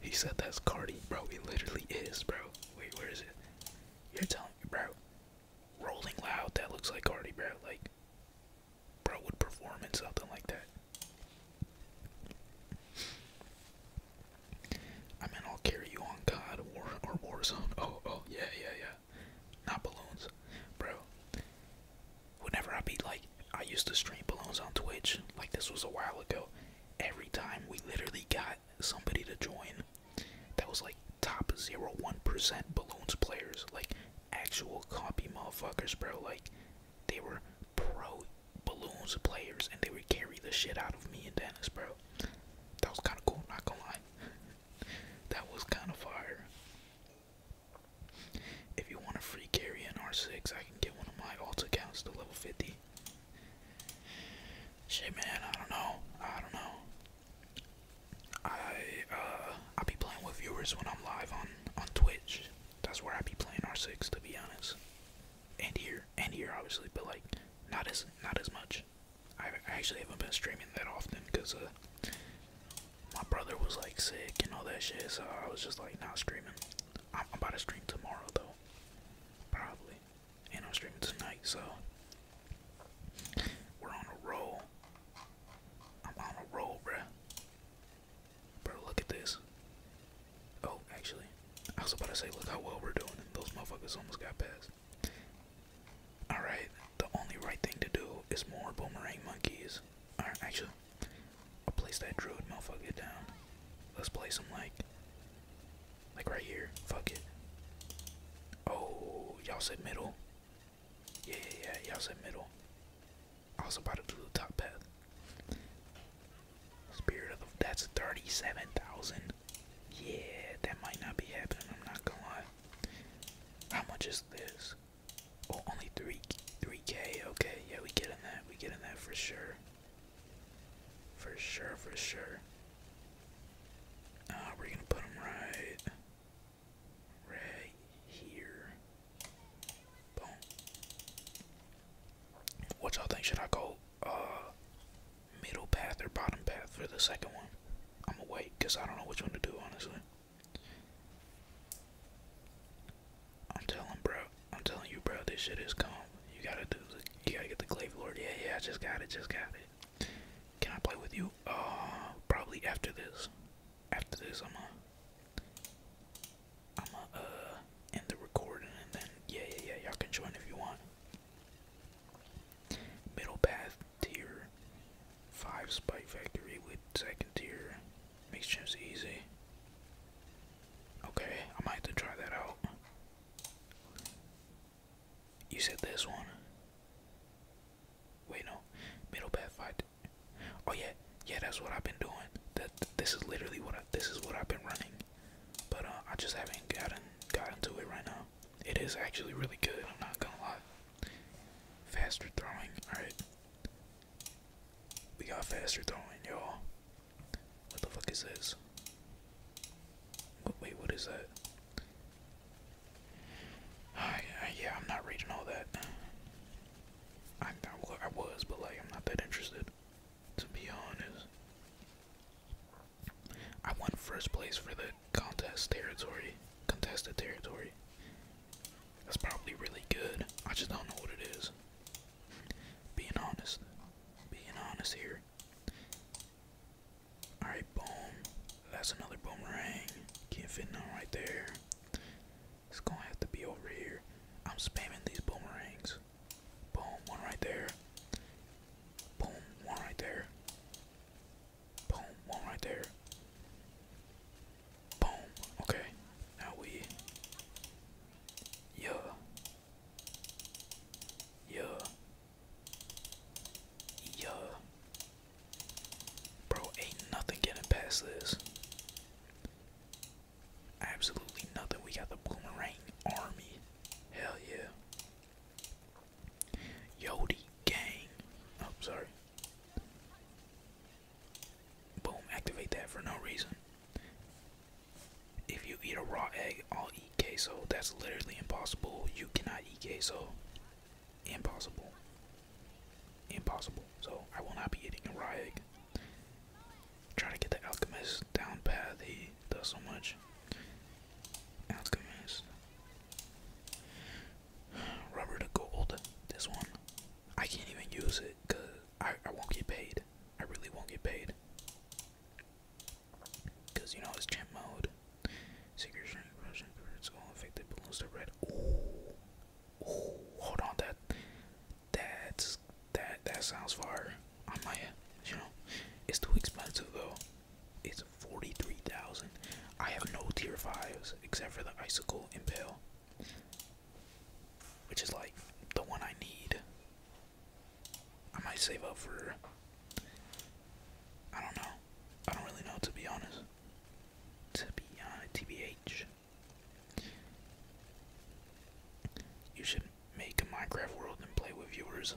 Speaker 1: He said that's Cardi, bro. It literally is, bro. Wait, where is it? You're telling me, bro. Rolling loud, that looks like Cardi, bro. Like, bro would perform in something like that. I mean, I'll carry you on God, War or Warzone. Oh, oh, yeah, yeah, yeah. Not balloons, bro. Whenever I be like, I used to stream balloons on Twitch. Like this was a while ago. Every time we literally got somebody to join, that was like top 0.1% balloons players, like actual copy motherfuckers, bro. Like they were pro balloons of players and they would carry the shit out of me and Dennis, bro. That was kind of cool, not gonna lie. that was kind of fire. If you want a free carry in R6, I can get one of my alt accounts to level 50. Shit, man, I don't know. I don't know. I uh I be playing with viewers when I'm live on on Twitch. That's where I be playing R6 to be honest and here and here obviously, but like not as not as much. I, actually haven't been streaming that often because uh, my brother was like sick and all that shit, so I was just like not streaming. I'm about to stream tomorrow though, probably, and I'm streaming tonight, so we're on a roll. I'm on a roll, bruh. Bro, look at this. Oh, actually, I was about to say, look how well we're doing. those motherfuckers almost got past. Alright, the only right thing to do is more boomerang monkeys. Alright, actually, I'll place that druid motherfucker down. Let's play some like, like right here. Fuck it. Oh, y'all said middle. Yeah, yeah, yeah, y'all said middle. I was about to do the top path. Spirit of that's 37,000. Yeah, that might not be happening, I'm not gonna lie. How much is this? Oh, only 3, 3k, okay, yeah, we get in that, we get in that for sure. For sure, for sure. Uh, we're gonna put them right, right here. Boom. What y'all think? Should I go, uh, middle path or bottom path for the second one. I'm gonna wait because I don't know which one to do, honestly. I'm telling bro, I'm telling you, bro, this shit is calm. You gotta do, the, you gotta get the Glaive Lord. Yeah, yeah, just got it, just got it. Can I play with you? Uh, probably after this. After this, I'm gonna, I'm gonna, uh, end the recording and then, yeah, yeah, yeah, y'all can join if you want. Middle path tier 5 Spike Factory with second tier. Makes gems easy. Okay, I might have to try that out. You said this one. Wait, no. Middle path fight. Oh yeah, yeah. That's what I've been doing. That this is literally what This is what I've been running but uh, I just haven't gotten gotten to it right now. It is actually really good. I'm not gonna lie. Faster throwing. All right, we got faster throwing, y'all. What the fuck is this? Wait, what is that? yeah, I'm not reading all that. I, I was, but like, I'm not that interested, to be honest. I won first place for the contest territory, contested territory. That's probably really good. I just don't know what it is. Being honest. Being honest here. Alright, boom. That's another boomerang. Can't fit none right there. It's gonna have to be over here. I'm spamming these boomerangs. Boom, one right there. Boom, one right there. Boom, one right there. Boom. Okay. Now we Yeah. Yeah. Yeah. Bro, ain't nothing getting past this. Absolutely nothing. We got the Boomerang Army. Hell yeah. Yodi gang. Oh, sorry. Boom, activate that for no reason. If you eat a raw egg, I'll eat queso. That's literally impossible. You cannot eat queso. Impossible. Impossible. So I will not be eating a raw egg. Try to get the alchemist down pat. He does so much. Alchemist. Rubber to gold. This one. I can't even use it because I, I won't get paid. I really won't get paid. Because you know it's champ mode. Secret shrink, Russian curse, all infected balloons to red. Ooh. Ooh, hold on, that that's that that sounds far. I might, you know, it's too expensive though. It's forty-three thousand. I have no tier fives except for the icicle impale, which is like the one I need. I might save up for. I don't know. I don't really know to be honest. To be tbh. Uh, you should make a Minecraft world and play with viewers.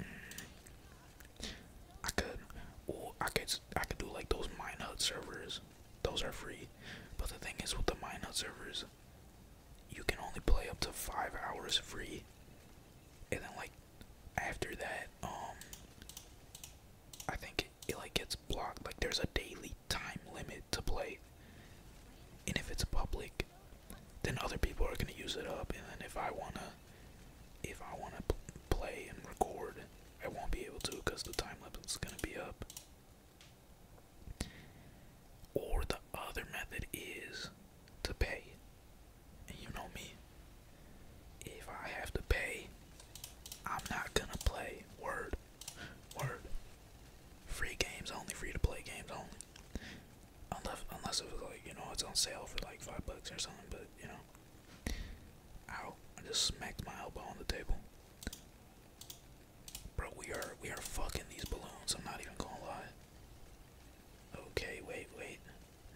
Speaker 1: Mm. I could, or I could, I could do like those Minehut servers. Those are free, but the thing is with the Minehut servers, you can only play up to five hours free, and then like after that, um, I think it like gets blocked. Like there's a daily time limit to play. And if it's public, then other people are gonna use it up. And then if I wanna, if I wanna play and record, I won't be able to because the time limit's gonna be up. Or the other method is to pay. And you know me. If I have to pay, I'm not gonna play. Word. Word free games only, free to play games only. Unless, unless it was like, you know, it's on sale for like five bucks or something, but you know. Ow, I just smacked my elbow on the table. Bro, we are, we are fucking these balloons, I'm not even gonna lie. Okay, wait, wait.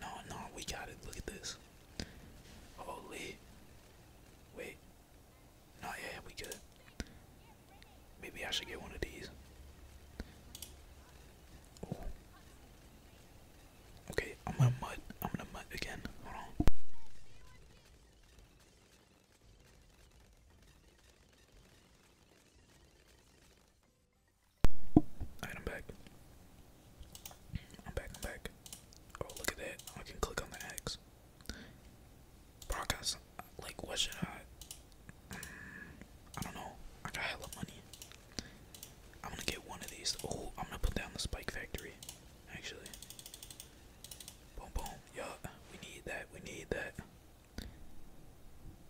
Speaker 1: No, no, we got it, look at this. Holy. Wait. No, yeah, we good. Maybe I should get one of these. Okay, I'm going mud. I'm going mud again. Hold on. I'm back. I'm back, Oh, look at that. I can click on the axe podcast. Like, what should I? I don't know. I got hella money. I'm gonna get one of these. Oh, I'm gonna put down the Spike Factory. Actually. Boom, boom. Yeah, we need that. We need that.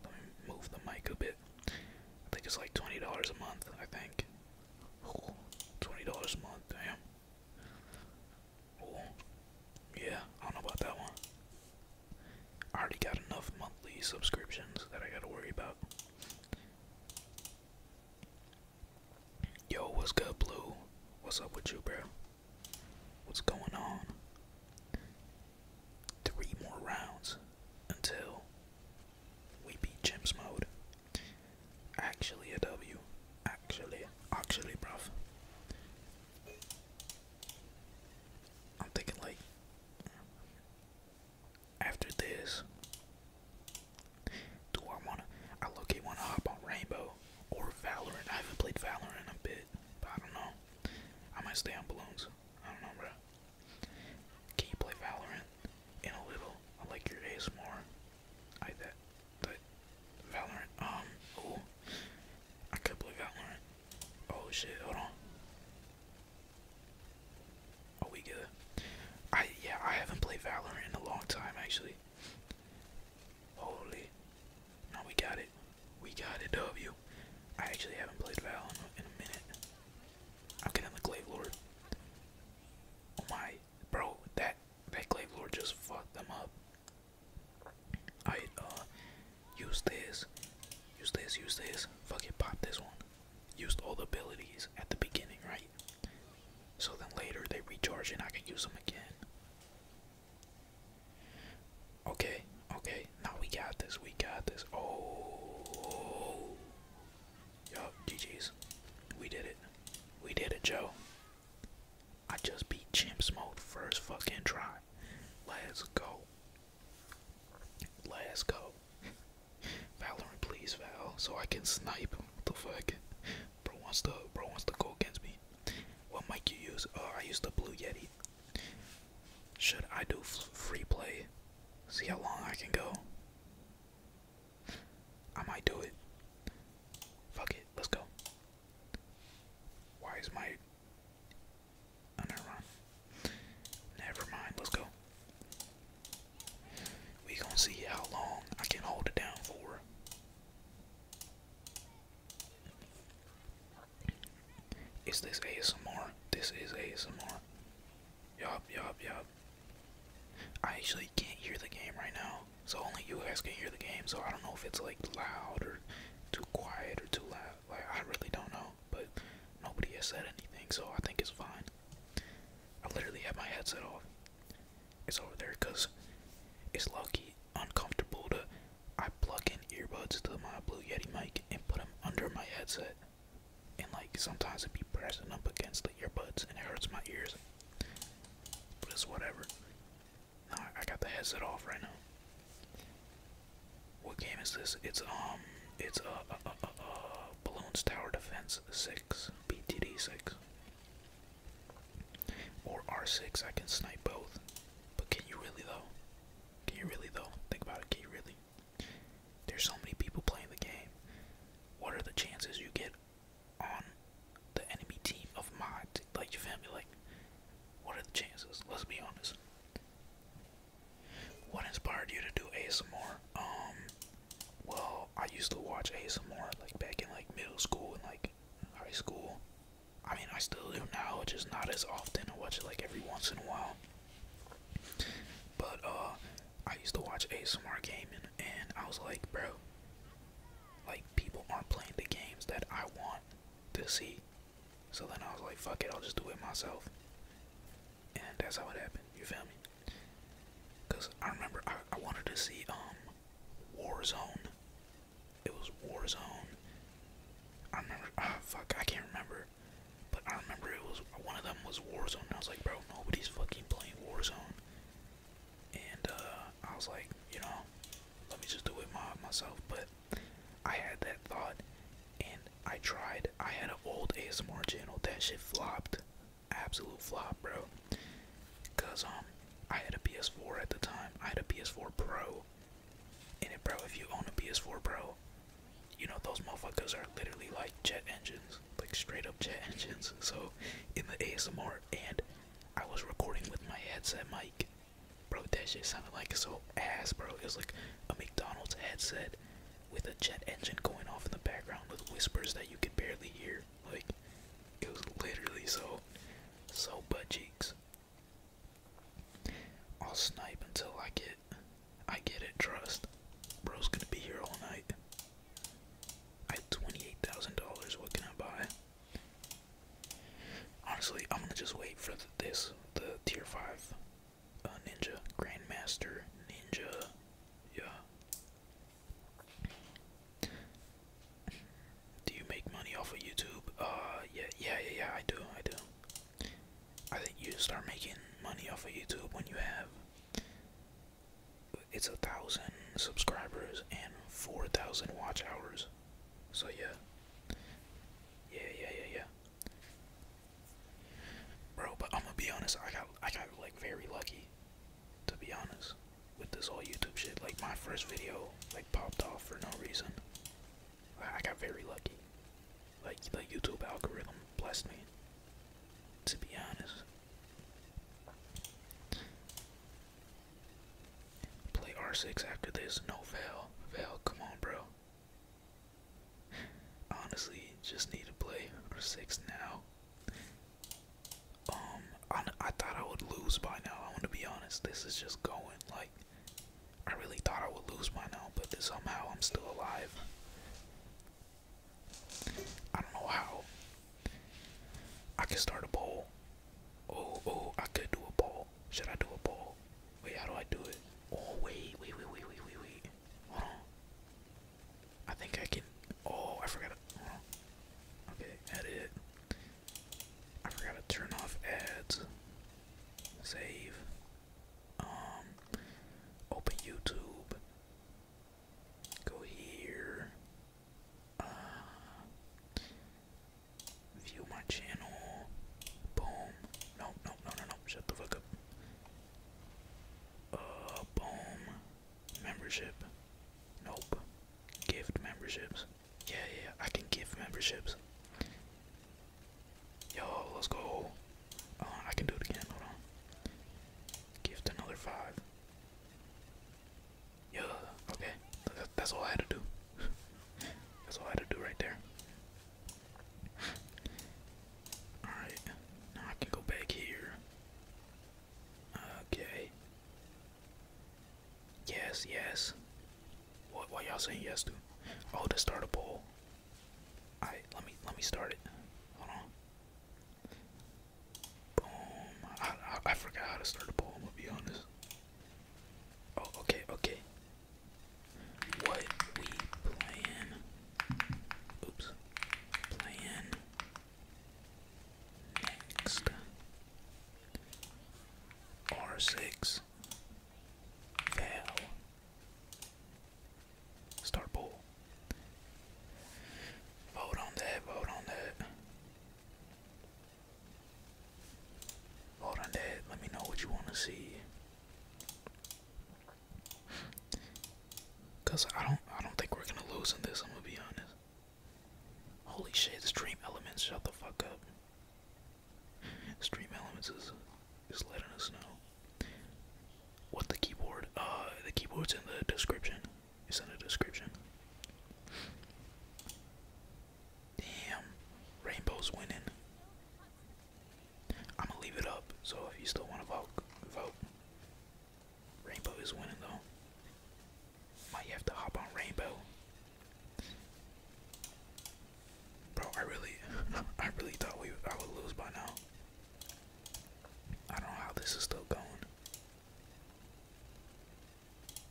Speaker 1: Let me move the mic a bit. I think it's like $20 a month, I think. $20 a month, damn. yeah, I don't know about that one. I already got enough monthly subscriptions that I gotta worry about. Yo, what's good, Blue? What's up with you, bro? What's going on? Three more rounds until we beat Jim's Mode. Actually, a W. Actually, actually, bruv. I'm thinking like after this, do I wanna? I look wanna hop on Rainbow or Valorant. I haven't played Valorant a bit, but I don't know. I might stay on Balloons. I don't know, bro. Can you play Valorant in a little? I like your ASMR. I that. But Valorant. Um. Ooh. I can't believe i one. Oh shit, hold on. Oh we get it. I yeah, I haven't played Valorant in a long time actually. Holy. No, we got it. We got it, W. I actually haven't played Valorant in a minute. I'm getting the Glaive Lord. Oh my bro, that that Glaive Lord just fucked them up. Alright, uh, use this, use this, use this, fuck it, pop this one. Used all the abilities at the beginning, right? So then later they recharge and I can use them again. Okay, okay, now we got this, we got this. Oh, yup, GG's. We did it. We did it, Joe. I just beat Chimps Mode first fucking try. Let's go. Let's go. Valorant, please, Val, so I can snipe. What the fuck? Bro wants to, bro wants to go against me. What mic you use? Oh, I use the Blue Yeti. Should I do free play? See how long I can go. I might do it. Fuck it, let's go. Why is my never mind. Never mind. Let's go. We gonna see how long I can hold it down for. Is this ASMR? This is ASMR. Yup, yup, yup. I actually can't hear the game right now, so only you guys can hear the game. So I don't know if it's like loud or too quiet or too loud like I really don't know, but nobody has said anything, so I think it's fine. I literally have my headset off. It's over there because it's lucky uncomfortable to I plug in earbuds to my Blue Yeti mic and put them under my headset, and like sometimes it be pressing up against the earbuds and it hurts my ears. But it's whatever. No, I got the headset off right now. What game is this? It's um, it's a uh, uh, uh, uh, Balloons Tower Defense Six, BTD Six, or R Six. I can snipe both, but can you really though? Can you really though? Think about it. Can you really? There's so many people playing the game. What are the chances you get on the enemy team of mod? Like you feel me? Like what are the chances? Let's be honest. What inspired you to do ASMR? Um, well, I used to watch ASMR like back in like middle school and like high school. I mean, I still do now, just not as often. I watch it like every once in a while. But uh, I used to watch ASMR gaming, and I was like, bro, like people aren't playing the games that I want to see. So then I was like, fuck it, I'll just do it myself. And that's how it happened, you feel me? Because I remember I, I wanted to see um, Warzone. It was Warzone. I remember, ah, fuck, I can't remember. But I remember it was, one of them was Warzone. I was like, bro, nobody's fucking playing Warzone. And uh, I was like, you know, let me just do it myself. But I had that thought and I tried. I had an old ASMR channel. That shit flopped. Absolute flop, bro. Cause um I had a PS4 at the time. I had a PS4 Pro. And it bro, if you own a PS4 bro, you know those motherfuckers are literally like jet engines. Like straight up jet engines. So in the ASMR and I was recording with my headset mic Bro, that shit sounded like so ass, bro. It was like a McDonald's headset with a jet engine going off in the background with whispers that you could barely hear. Like, it was literally so, so butt cheeks. I'll snipe until I get, I get it, trust. Bro's gonna be here all night. I had $28,000, what can I buy? Honestly, I'm gonna just wait for this, the tier 5 uh, ninja, grandmaster, ninja, yeah. Do you make money off of YouTube? Uh, yeah, yeah, yeah, yeah, I do, I do. I think you start making money off of YouTube when you have it's a thousand subscribers and four thousand watch hours. So yeah, yeah, yeah, yeah, yeah. Bro, but I'm gonna be honest, I got I got like very lucky, to be honest, with this whole YouTube shit. Like my first video like popped off for no reason. I got very lucky. Like the YouTube algorithm blessed me. To be honest. Play R6 after this. No fail, Val, come on, bro. Honestly, just need to play R6 now. Um, I, I thought I would lose by now. I want to be honest. This is just going. Like, I really thought I would lose by now, but somehow I'm still alive. I don't know how. I could start a poll. Oh, oh, I could do a poll. Should I do a poll? Wait, how do I do it? Oh wait, wait, wait, wait, wait, wait, Hold on. I think I can. Oh, I forgot. Okay, edit. I forgot to turn off ads. Save. Um. Open YouTube. Go here. Uh, View my channel. Boom. No, no, no, no, no. Shut the fuck up. Uh, boom. Membership. Nope. Gift memberships. Yeah, yeah, I can give memberships. Yo, let's go. Uh, I can do it again. Hold on. Gift another five. Yeah, okay. That's all I had to do. That's all I had to do right there. Alright, now I can go back here. Okay. Yes, yes. What what y'all saying yes to? Oh, to start a poll. Alright, let me let me start it. Hold on. Boom. I, I, I forgot how to start a poll, I'm gonna be honest. Oh, okay, okay what we plan. Oops. Plan next. R6. Val. Star Bowl. Vote on that, vote on that. Vote on that. Let me know what you want to see. Cause I don't, I don't think we're gonna lose in this. I'm gonna be honest. Holy shit! Stream Elements, shut the fuck up. Stream Elements is is letting us know. What the keyboard? Uh, the keyboard's in the description. It's in the description. Damn. Rainbow's winning. I'm gonna leave it up. So if you still want to vote, vote. Rainbow is winning though. Might have to hop on Rainbow. Bro, I really, I really thought we, I would lose by now. I don't know how this is still going.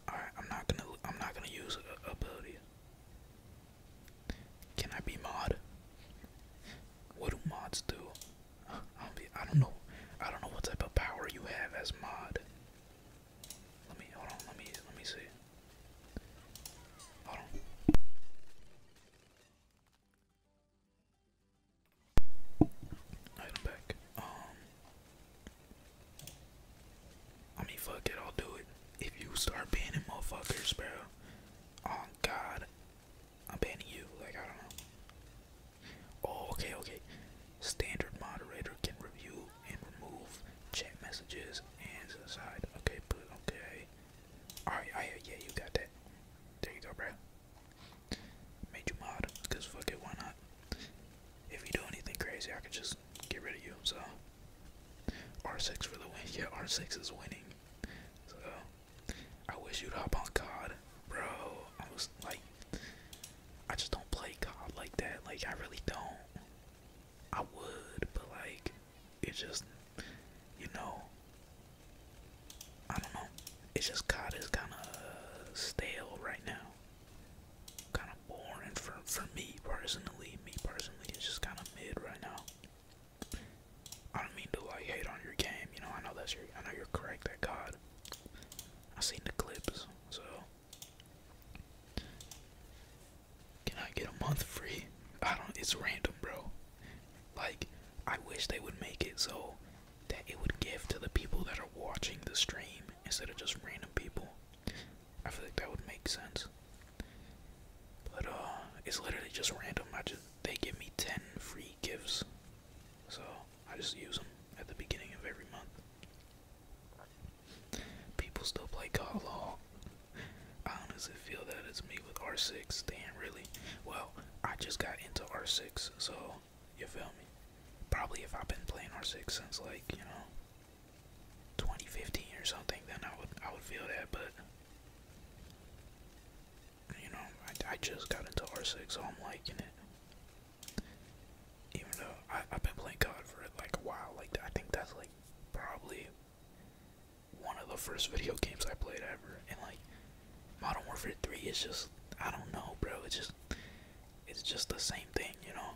Speaker 1: All right, I'm not gonna I'm not gonna use a, ability. Can I be mod? What do mods do? I do I don't know. I don't know what type of power you have as mod. Let me hold on. Let me let me see. Hold on. Item back. Um, I mean, fuck it, I'll do it. If you start banning motherfuckers, bro, oh God, I'm banning you. Like, I don't know. Oh, okay, okay. Standard moderator can review and remove chat messages and aside. Okay, but okay. Alright, I hear yeah, you got that. There you go, bro. Made you mod, cause fuck it, why not? If you do anything crazy, I can just get rid of you. So R6 for the win. Yeah, R6 is winning. So I wish you'd hop on COD, bro. I was like, I just don't play COD like that. Like I really don't. I would, but like it's just, you know, I don't know. It's just COD is kind of stale right now kind of boring for for me personally. Me personally, it's just kind of mid right now. I don't mean to like hate on your game, you know. I know that's your, I know you're correct. That God, I seen the clips, so can I get a month free? I don't. It's random, bro. Like, I wish they would make it so that it would give to the people that are watching the stream instead of just random people. I feel like that would make sense. But uh, it's literally just random. I just they give me ten free gifts, so I just use them at the beginning of every month. People still play Call of I honestly feel that it's me with R6. Damn, really? Well, I just got into R6, so you feel me? Probably if I've been playing R6 since like you know 2015 or something, then I would I would feel that. But you know, I, I just got into R6, so I'm liking it. Even though I, I've been playing COD for like a while, like I think that's like probably one of the first video games I played ever, and like Modern Warfare 3 is just I don't know, bro. It's just it's just the same thing, you know.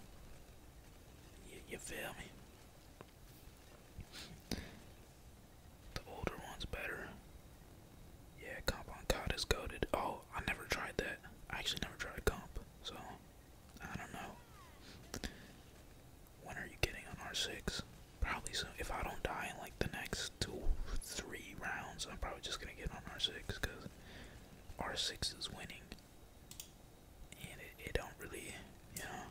Speaker 1: you feel me? The older one's better. Yeah, comp on COD is goaded. Oh, I never tried that. I actually never tried comp, so I don't know. When are you getting on R6? Probably soon. If I don't die in like the next two, three rounds, I'm probably just gonna get on R6 because R6 is winning and it, it don't really, you know,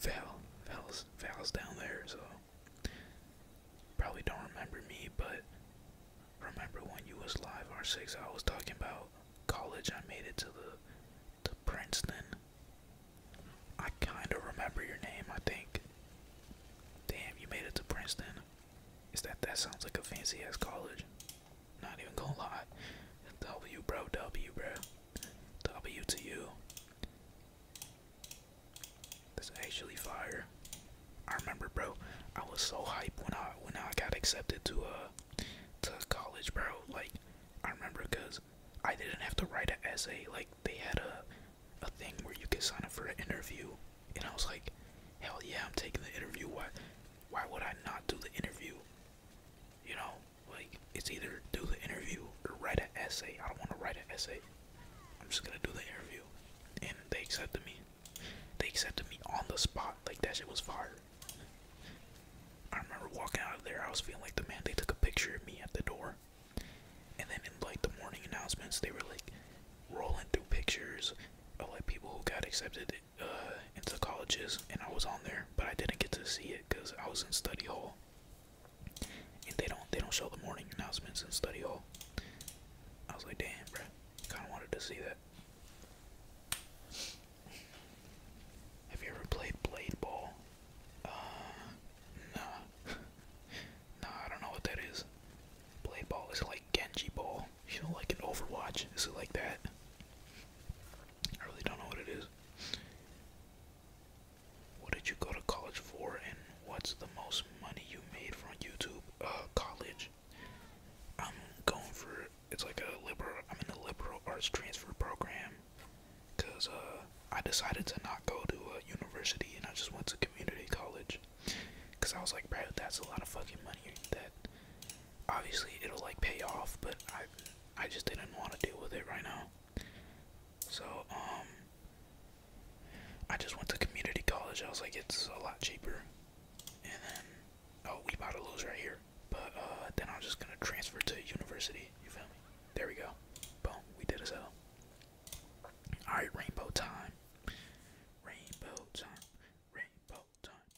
Speaker 1: vowel, vowels, vowels down there, so probably don't remember me, but remember when you was live R6, I was talking about college, I made it to the, to Princeton, I kind of remember your name, I think, damn, you made it to Princeton, is that, that sounds like a fancy ass college. Not even gonna W bro, W bro. W to you. That's actually fire. I remember bro, I was so hyped when I when I got accepted to a uh, to college bro. Like I remember cause I didn't have to write an essay. Like they had a a thing where you could sign up for an interview and I was like, Hell yeah, I'm taking the interview. Why why would I not do the interview? You know, like it's either do the interview or write an essay. I don't want to write an essay. I'm just gonna do the interview, and they accepted me. They accepted me on the spot. Like that shit was fire. I remember walking out of there. I was feeling like the man. They took a picture of me at the door, and then in like the morning announcements, they were like rolling through pictures of like people who got accepted uh, into colleges, and I was on there, but I didn't get to see it because I was in study hall, and they don't they don't show the morning announcements in study hall. I was like, damn, bro, kind of wanted to see that. Have you ever played blade ball? Uh, nah, nah, I don't know what that is. Blade ball is like Genji ball, you know, like an Overwatch. Is it like that? I really don't know what it is. What did you go to college for, and what's the most money you made from YouTube? Uh, college. I'm going for it's like a liberal. I'm in a liberal arts transfer program, cause uh, I decided to not go to a university and I just went to community college, cause I was like, bro, that's a lot of fucking money that obviously it'll like pay off, but I I just didn't want to deal with it right now. So um I just went to community college. I was like
Speaker 2: it's a lot cheaper. And then oh we about to lose right here. But uh then I'm just gonna transfer to university. You feel me? There we go. Boom, we did as hell. Alright, rainbow time. Rainbow time. Rainbow time.